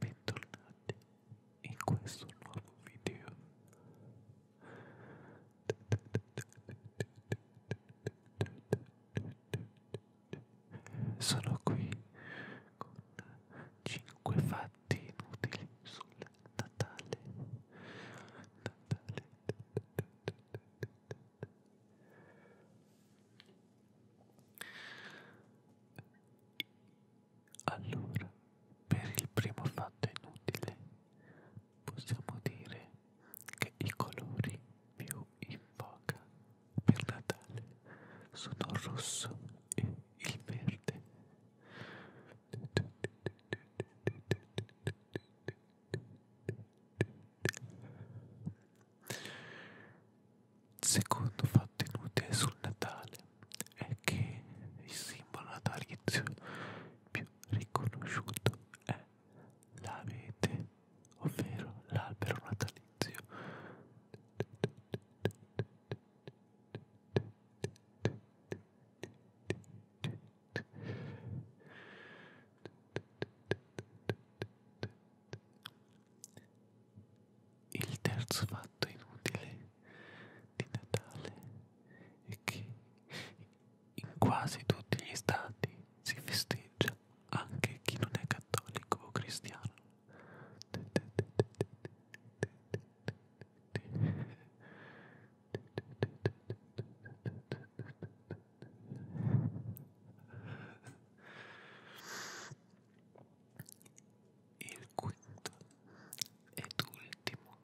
bentornati in questo nuovo video sono qui con 5 fatti inutili sul Natale Natale allora, per il primo fatto inutile, possiamo dire che i colori più in voga per Natale sono il rosso e il verde. Secondo fatto inutile sul Natale è che il simbolo natalizio più riconosciuto è l'avete, ovvero l'albero natalizio. Il terzo fatto inutile di Natale è che in quasi tutti gli stati si festeggia anche chi non è cattolico o cristiano il quinto ed ultimo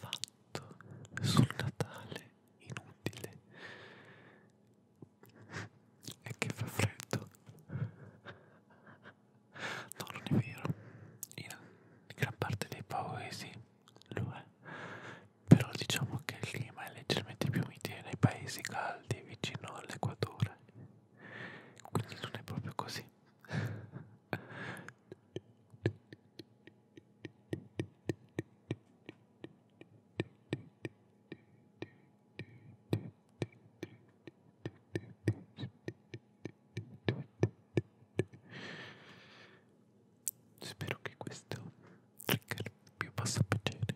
fatto sul Natale inutile è che fa freddo no non è vero in gran parte dei paesi lo è però diciamo che il clima è leggermente più umidile nei paesi caldi vicino all'equatore quindi non è proprio così Spero che questo trigger vi possa piacere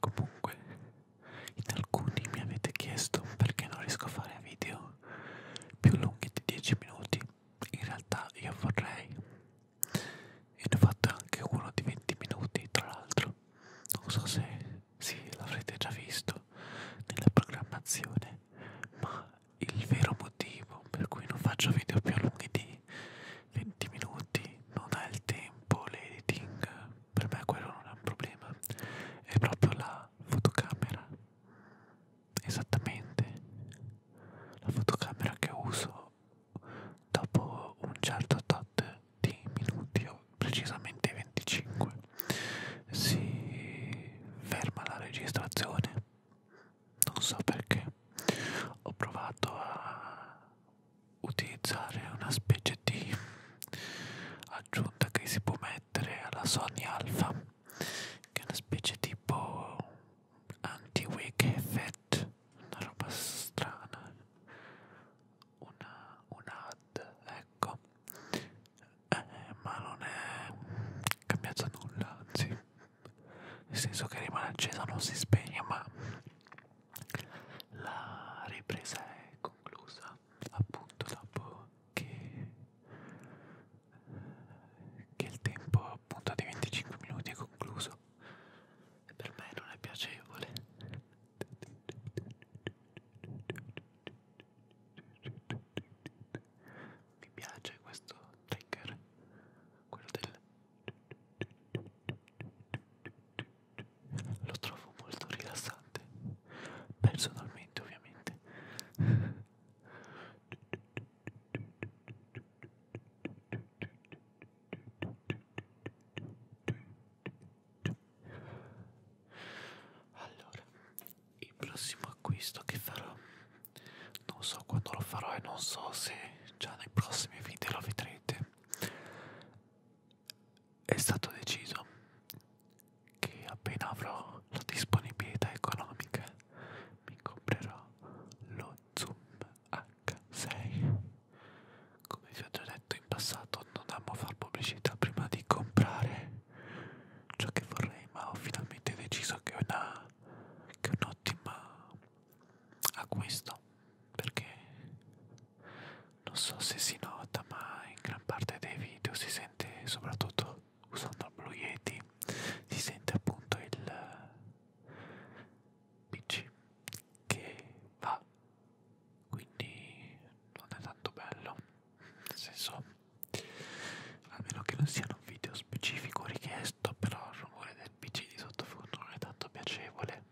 Comunque, in alcuni mi avete chiesto perché non riesco a fare video più lunghi di 10 minuti. In realtà io vorrei, e ne ho fatto anche uno di 20 minuti, tra l'altro. Non so se sì, l'avrete già visto nella programmazione, ma il vero motivo per cui non faccio video più lunghi di 20 minuti non ha il tempo, l'editing, per me quello non è un problema, è proprio la fotocamera, esattamente la fotocamera che uso dopo un certo tot di minuti, o precisamente 25, si ferma la registrazione. Non so perché. Ho provato a utilizzare una specie di aggiunta che si può mettere alla Sony Alpha che è una specie tipo anti-wake effect una roba strana una, un ad ecco eh, ma non è cambiato nulla anzi nel senso che rimane accesa non si spegne ma la ripresa è conclusa appunto dopo che, che il tempo appunto di 25 minuti è concluso e per me non è piacevole. Mi piace questo trigger, quello del lo trovo molto rilassante personalmente ovviamente allora il prossimo acquisto che farò non so quando lo farò e non so se già nei prossimi video lo vedrete è stato deciso che appena avrò la disponibilità economica mi comprerò lo Zoom H6 come vi ho già detto in passato non amo far pubblicità prima di comprare ciò che vorrei ma ho finalmente deciso che è, una, che è un ottimo acquisto perché non so se si nota ma in gran parte dei video si sente soprattutto usando il Blue Yeti si sente appunto il pc che va quindi non è tanto bello nel senso almeno che non siano un video specifico richiesto però il rumore del pc di sottofondo non è tanto piacevole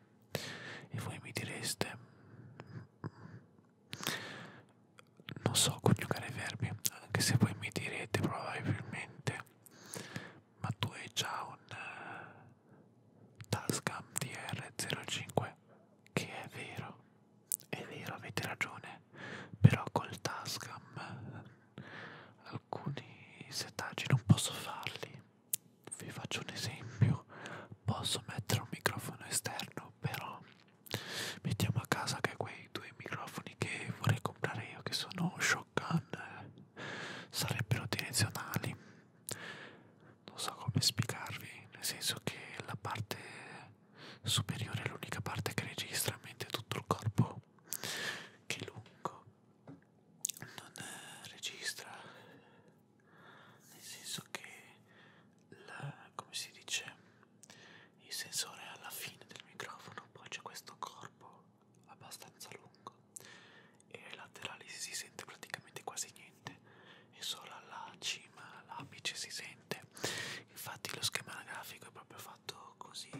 e voi mi direste, non so coniugare i verbi, anche se voi mi direte probabilmente, ma tu hai già un uh, Tascam DR05, che è vero, è vero, avete ragione, però col Tascam eh, alcuni setaggi non posso farli vi faccio un esempio posso mettere un microfono esterno però mettiamo a casa che quei due microfoni che vorrei comprare io che sono shotgun eh, sarebbero direzionali non so come spiegarvi nel senso che la parte superiore è l'unica parte che registra mentre tutto il corpo che è lungo non eh, registra nel senso che la, come si dice il sensore è alla fine del microfono poi c'è questo corpo abbastanza lungo e ai laterali si sente praticamente quasi niente e solo alla cima l'apice si sente infatti lo schema grafico è proprio fatto così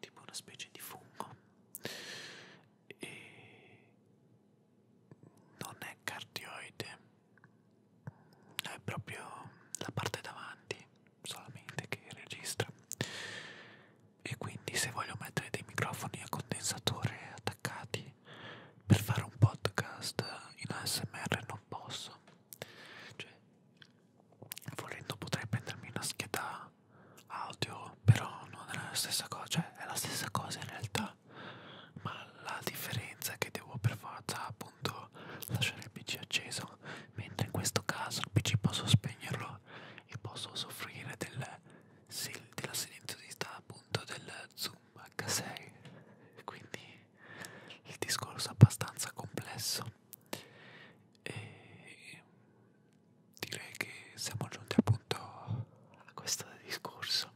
tipo una specie di fungo e non è cardioide, è proprio la parte davanti solamente che registra. E quindi, se voglio mettere dei microfoni a condensatore attaccati per fare un podcast in ASMR, non posso. Cioè, volendo, potrei prendermi una scheda audio, però non è la stessa cosa, cioè, è la stessa cosa in realtà differenza ma la differenza è che devo per forza appunto lasciare il pc acceso mentre in questo caso il pc posso spegnerlo e posso soffrire del, della silenziosità appunto del zoom h6 quindi il discorso è abbastanza complesso e direi che siamo giunti appunto a questo discorso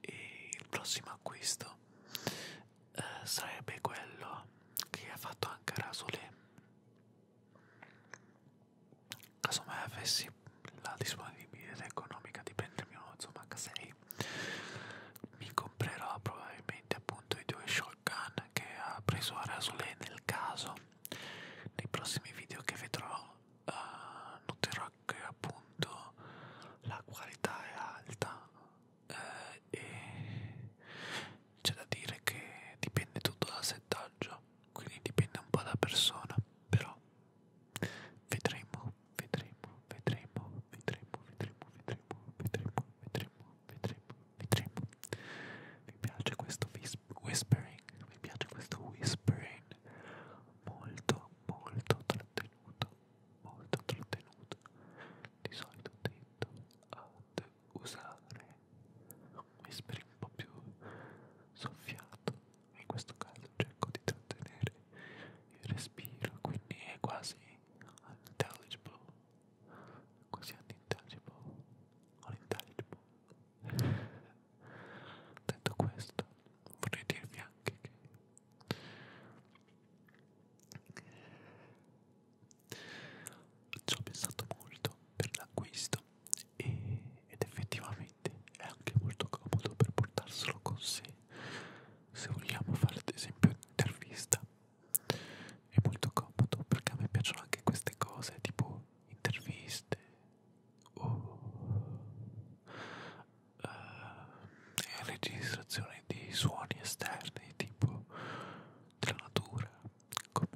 e il prossimo acquisto eh, sarebbe quello che ha fatto anche Rasole casomai avessi la disponibilità economica di prendermi uno Zomac 6 mi comprerò probabilmente appunto i due shotgun che ha preso a Rasole nel caso nei prossimi video che vedrò eh, noterà che appunto la qualità è alta eh, e c'è da dire che dipende tutto dal settaggio quindi dipende un po' da persona però vedremo vedremo vedremo vedremo vedremo vedremo vedremo vedremo vedremo vedremo vi piace questo whispering mi piace questo whispering molto molto trattenuto molto trattenuto di solito tendo ad usare un whispering un po' più soffiato in questo caso cerco di trattenere il respiro quindi è quasi unintelligible quasi unintelligible unintelligible Detto questo, vorrei dirvi anche che ci ho pensato molto per l'acquisto ed effettivamente è anche molto comodo per portarselo con sé se vogliamo fare ad esempio un'intervista è molto comodo perché a me piacciono anche queste cose tipo interviste o uh, eh, registrazioni di suoni esterni tipo della natura come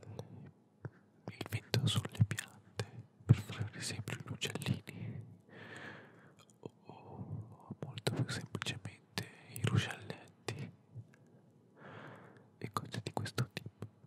le, il vento sulle piante per fare ad esempio gli uccellini o molto più semplicemente i ruscelletti e cose di questo tipo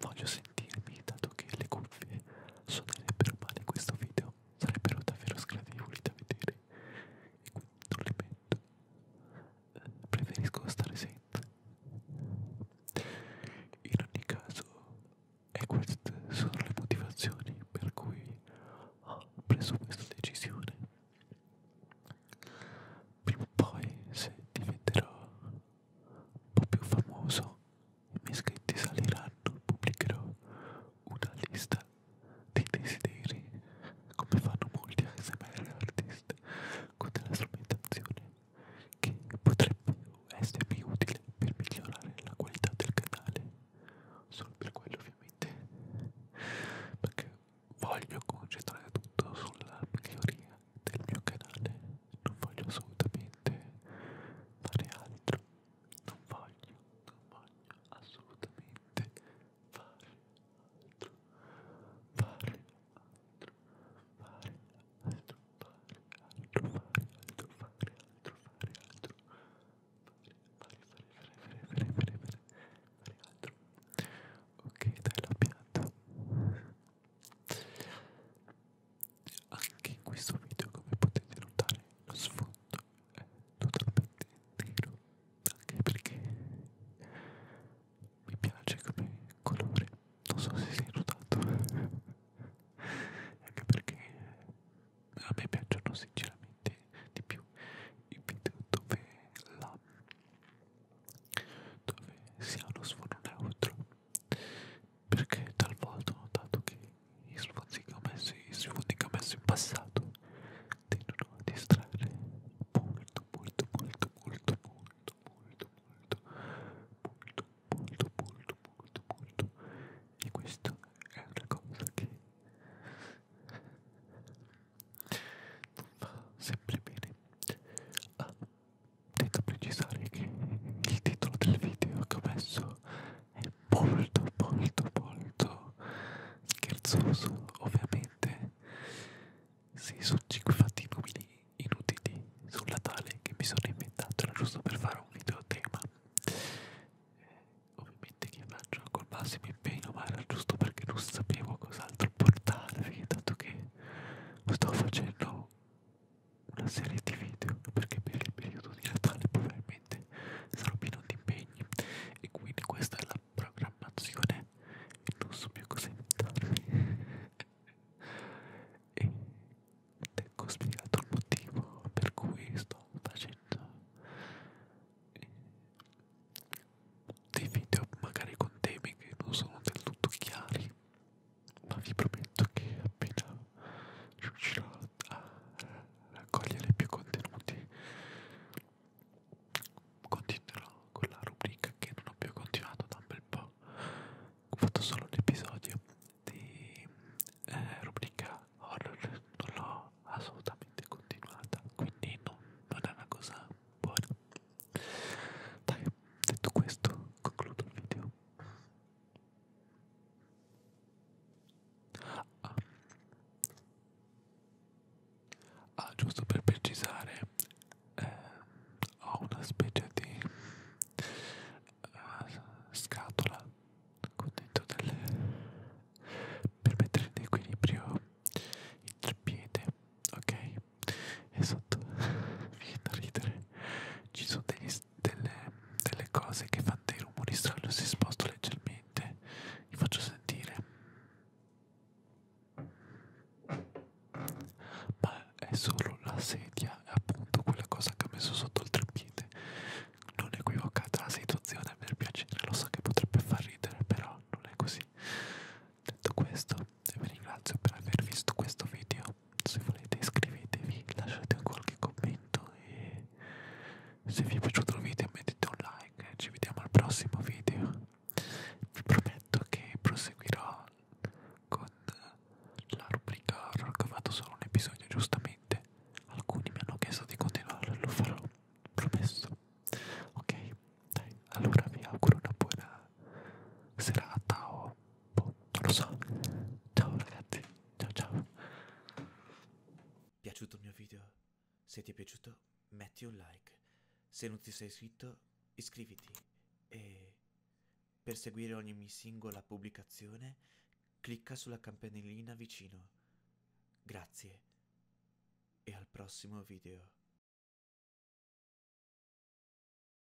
voglio sentirmi dato che le cuffie suonerebbero male questo video sarebbero davvero sgradevoli da vedere e quindi non le metto eh, preferisco stare senza in ogni caso e queste sono le motivazioni per cui ho preso questa decisione prima o poi se diventerò un po' più famoso i miei iscritti saliranno pubblicherò una lista dei desideri come fanno molti ASMR artisti con della strumentazione che potrebbe essermi utile per migliorare la qualità del canale solo per quello ovviamente perché voglio concentrare tutto sulla miglioria del mio canale non voglio assolutamente fare altro non voglio non voglio assolutamente fare altro fare altro fare altro fare altro fare altro fare altro fare altro fare fare fare fare fare fare fare fare altro ok dai la pianta anche in questo video, come potete notare, lo sfondo è totalmente nero, anche perché mi piace come colore, non so se si è notato, anche perché a me piacciono sinceramente di più i video dove la dove si ha uno sfondo neutro perché talvolta ho notato che gli sforzi che ho messo, gli sfondi che ho messo in passato tendono a distrarre molto molto molto molto molto molto molto molto molto molto molto molto e questa è una cosa che non va sempre bene a Tengo a precisare che il titolo del video che ho messo è molto molto molto scherzoso ovviamente sì sono 5 fatti inutili, inutili sul Natale che mi sono inventato era giusto per fare un video tema eh, ovviamente che faccio col massimo impegno ma era giusto perché non sapevo cos'altro portare dato che sto facendo una serie di video perché per il periodo di Natale probabilmente sarò pieno di impegni e quindi questa è la programmazione e non so più cosa inventarmi e ecco spiegato il motivo per cui sto facendo eh, dei video magari con temi che non sono del tutto chiari ma vi prometto che appena riuscirò a raccogliere più contenuti continuerò con la rubrica che non ho più continuato da un bel po' ho fatto solo un episodio di eh, rubrica horror non l'ho assolutamente continuata quindi no, non è una cosa buona dai detto questo concludo il video Ah. ah, giusto per precisare, eh, ho una specie di eh, scatola con dentro delle per mettere in equilibrio il piede, ok? esatto viene da ridere ci sono degli, delle, delle cose che fanno dei rumori strani si sposto leggermente vi faccio sentire ma è solo la sedia appunto quella cosa che ho messo sotto il treppiede non equivocata la situazione per piacere lo so che potrebbe far ridere però non è così detto questo e vi ringrazio per aver visto questo video. Se volete iscrivetevi, lasciate qualche commento e se vi è piaciuto il video mettete un like. Ci vediamo al prossimo video. Vi prometto che proseguirò con la rubrica horror che ho fatto solo un episodio giustamente. Alcuni mi hanno chiesto di continuare, lo farò, promesso. Ok, dai, allora vi auguro una buona serata o boh, non lo so. Ciao ragazzi, ciao ciao. Piaciuto il mio video? Se ti è piaciuto, metti un like. Se non ti sei iscritto, iscriviti. E per seguire ogni mia singola pubblicazione, clicca sulla campanellina vicino. Grazie e al prossimo video.